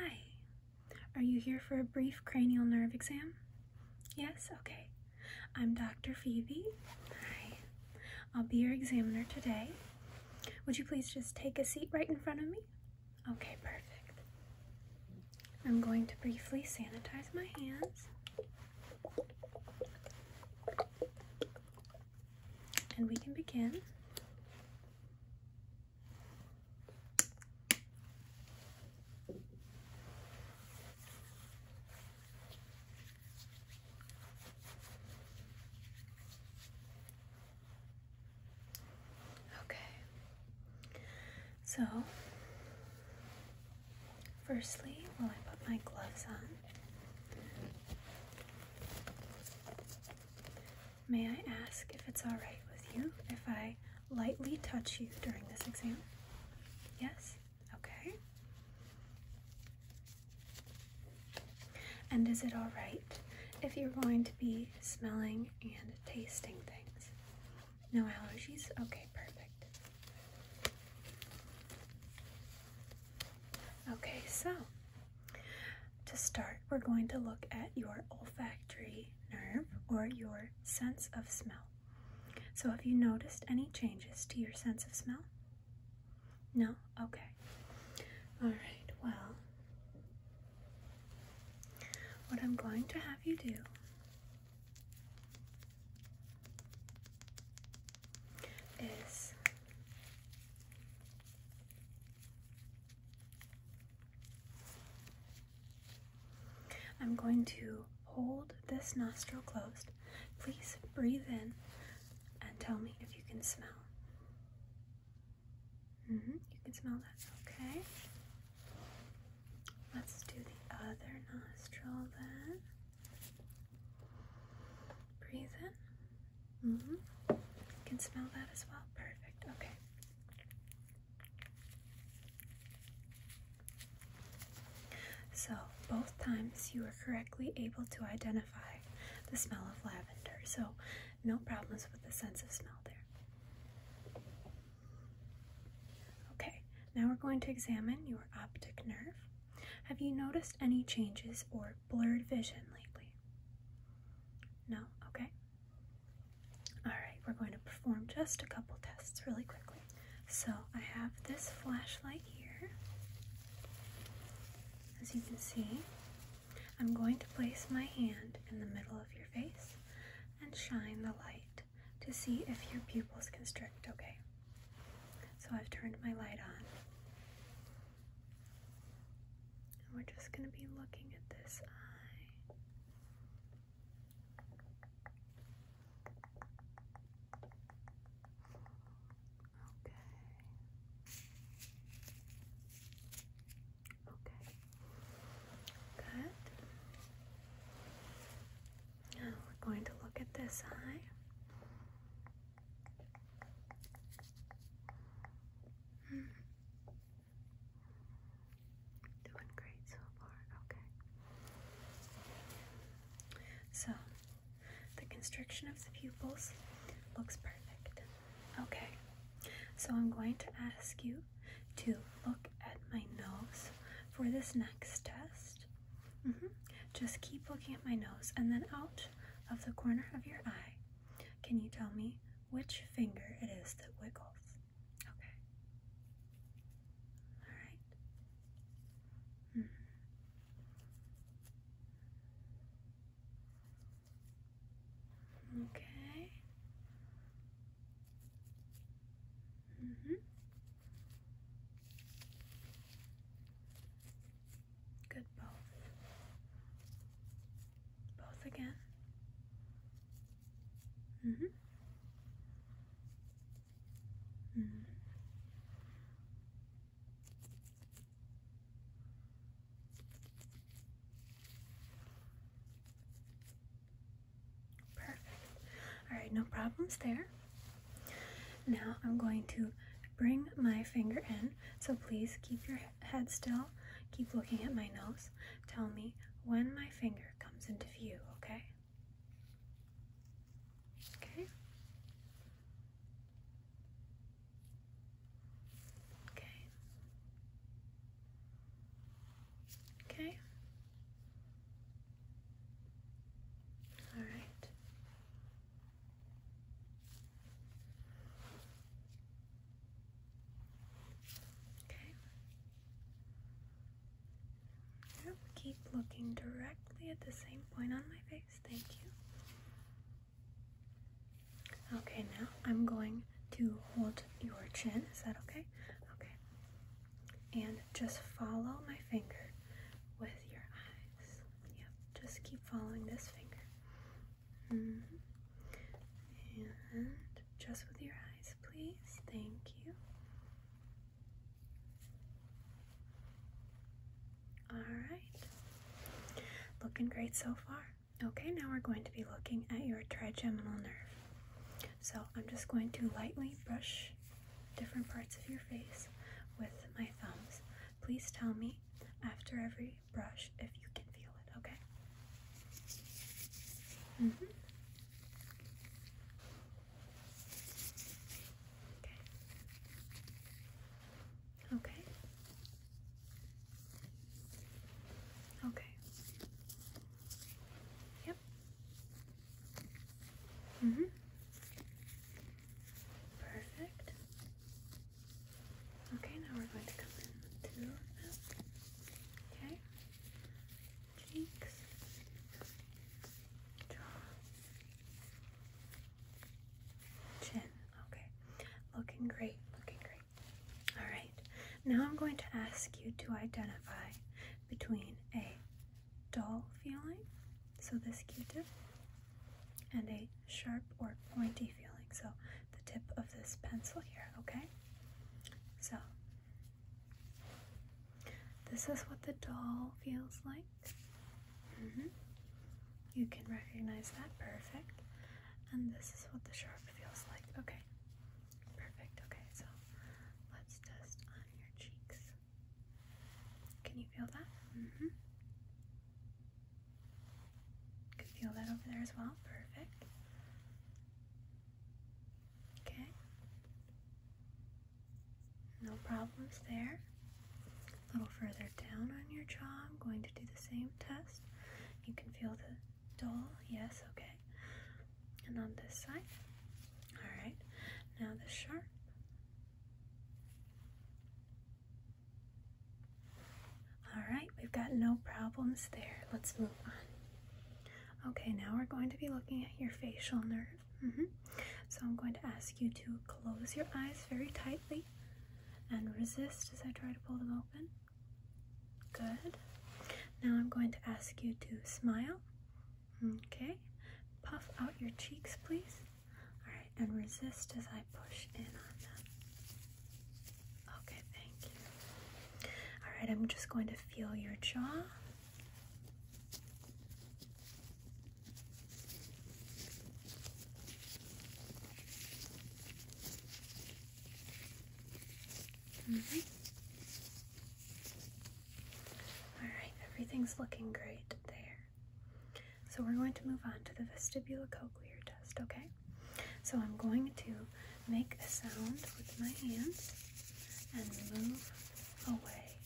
Hi. Are you here for a brief cranial nerve exam? Yes? Okay. I'm Dr. Phoebe. Hi. I'll be your examiner today. Would you please just take a seat right in front of me? Okay, perfect. I'm going to briefly sanitize my hands and we can begin. Okay, so firstly, while I put my gloves on, May I ask if it's all right with you if I lightly touch you during this exam? Yes? Okay. And is it all right if you're going to be smelling and tasting things? No allergies? Okay, perfect. Okay, so to start, we're going to look at your olfactory nerve or your sense of smell. So, have you noticed any changes to your sense of smell? No? Okay. All right, well, what I'm going to have you do is I'm going to hold this nostril closed. Please breathe in and tell me if you can smell. Mm-hmm, you can smell that. Okay. Let's do the other nostril then. Breathe in. Mm-hmm. You can smell that as well. Perfect. Okay. So, both times you were correctly able to identify the smell of lavender. So, no problems with the sense of smell there. Okay, now we're going to examine your optic nerve. Have you noticed any changes or blurred vision lately? No? Okay. Alright, we're going to perform just a couple tests really quickly. So I have this flashlight here. As you can see, I'm going to place my hand in the middle of your face and shine the light to see if your pupils constrict, okay? So I've turned my light on. And we're just going to be looking at this eye. Okay. Okay. Good. Now we're going to look at this eye. Doing great so far, okay. So, the constriction of the pupils looks perfect. Okay, so I'm going to ask you to look at my nose for this next test. Just keep looking at my nose and then out of the corner of your eye. Can you tell me which finger it is that wiggles? Okay. All right. Hmm. Okay. -hmm. Good, both. Both again. hmm. hmm. Perfect. All right, no problems there. Now I'm going to bring my finger in, so please keep your head still. Keep looking at my nose. Tell me when my finger comes into view, okay? Okay. Okay. Okay. All right. Okay. Now keep looking directly at the same point on my face. Thank you. Okay, now I'm going to hold your chin. Is that okay? Okay. And just follow my finger with your eyes. Yep, just keep following this finger. Mm-hmm. And just with your eyes, please. Thank you. Alright. Looking great so far. Okay, now we're going to be looking at your trigeminal nerve. So I'm just going to lightly brush different parts of your face with my thumbs. Please tell me after every brush if you can feel it, okay? Mm-hmm. Okay. Okay. Yep. Mm-hmm. Perfect. Okay, now we're going to come in Okay. Cheeks. Jaw. Chin. Okay. Looking great. Looking great. Alright. Now I'm going to ask you to identify between a dull feeling, so this q-tip, and a sharp or pointy feeling, so the tip of this pencil here, okay? So, this is what the doll feels like. Mm-hmm. You can recognize that, perfect. And this is what the sharp feels like, okay? Perfect, okay, so let's test on your cheeks. Can you feel that? Mm-hmm. Can feel that over there as well. Perfect. Okay. No problems there. A little further down on your jaw, I'm going to do the same test. You can feel the dull, yes, okay. And on this side. Alright. Now the sharp. All right, we've got no problems there. Let's move on. Okay, now we're going to be looking at your facial nerve. Mm-hmm. So I'm going to ask you to close your eyes very tightly and resist as I try to pull them open. Good. Now I'm going to ask you to smile. Okay. Puff out your cheeks, please. Alright, and resist as I push in on them. Okay, thank you. Alright, I'm just going to feel your jaw. Mm-hmm. All right, everything's looking great there. So we're going to move on to the cochlear test, okay? So I'm going to make a sound with my hands and move away.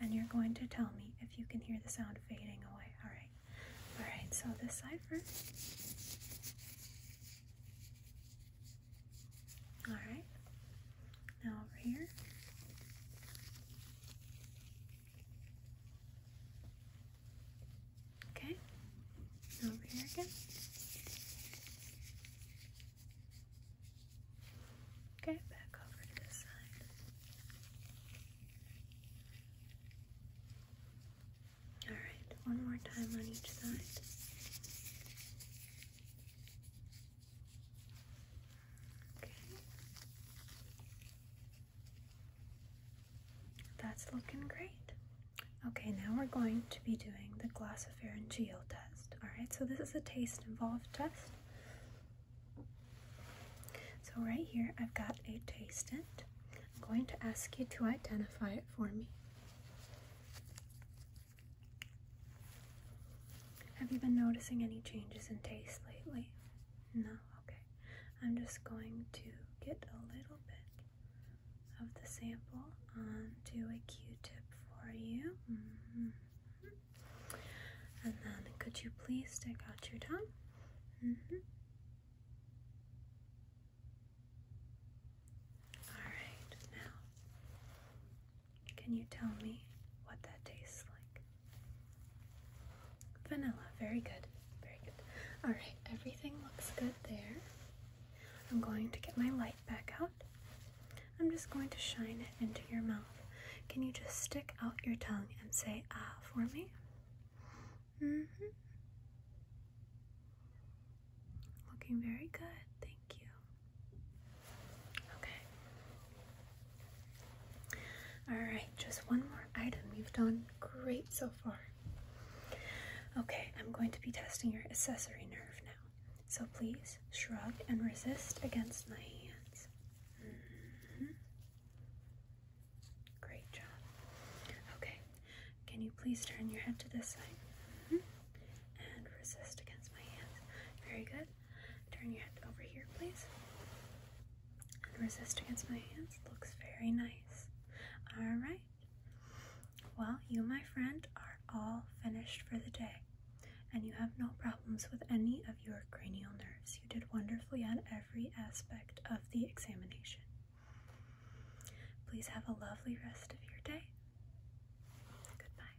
And you're going to tell me if you can hear the sound fading away, all right? All right, so this side first. All right. Now over here. Okay. over here again. Okay, back over to this side. Alright, one more time on each side. Okay. That's looking great. Okay, now we're going to be doing the glossopharyngeal test. Alright, so this is a taste involved test. So, right here, I've got a taste it. I'm going to ask you to identify it for me. Have you been noticing any changes in taste lately? No? Okay. I'm just going to get a little bit of the sample onto a q-tip for you. Mm-hmm. And then could you please stick out your tongue? Mm-hmm. Alright, now can you tell me what that tastes like? Vanilla. Very good. Very good. All right, everything looks good there. I'm going to get my light back out. I'm just going to shine it into your mouth. Can you just stick out your tongue and say ah for me? Mm hmm. Looking very good. Thank you. Okay. Alright, just one more item. You've done great so far. Okay, I'm going to be testing your accessory nerve now. So please shrug and resist against my hands. Mm-hmm. Great job. Okay, can you please turn your head to this side? Mm-hmm. And resist against my hands. Very good. Turn your head over here, please. And resist against my hands. Looks very nice. Alright. Well, you, my friend, are all finished for the day. And you have no problems with any of your cranial nerves. You did wonderfully on every aspect of the examination. Please have a lovely rest of your day. Goodbye.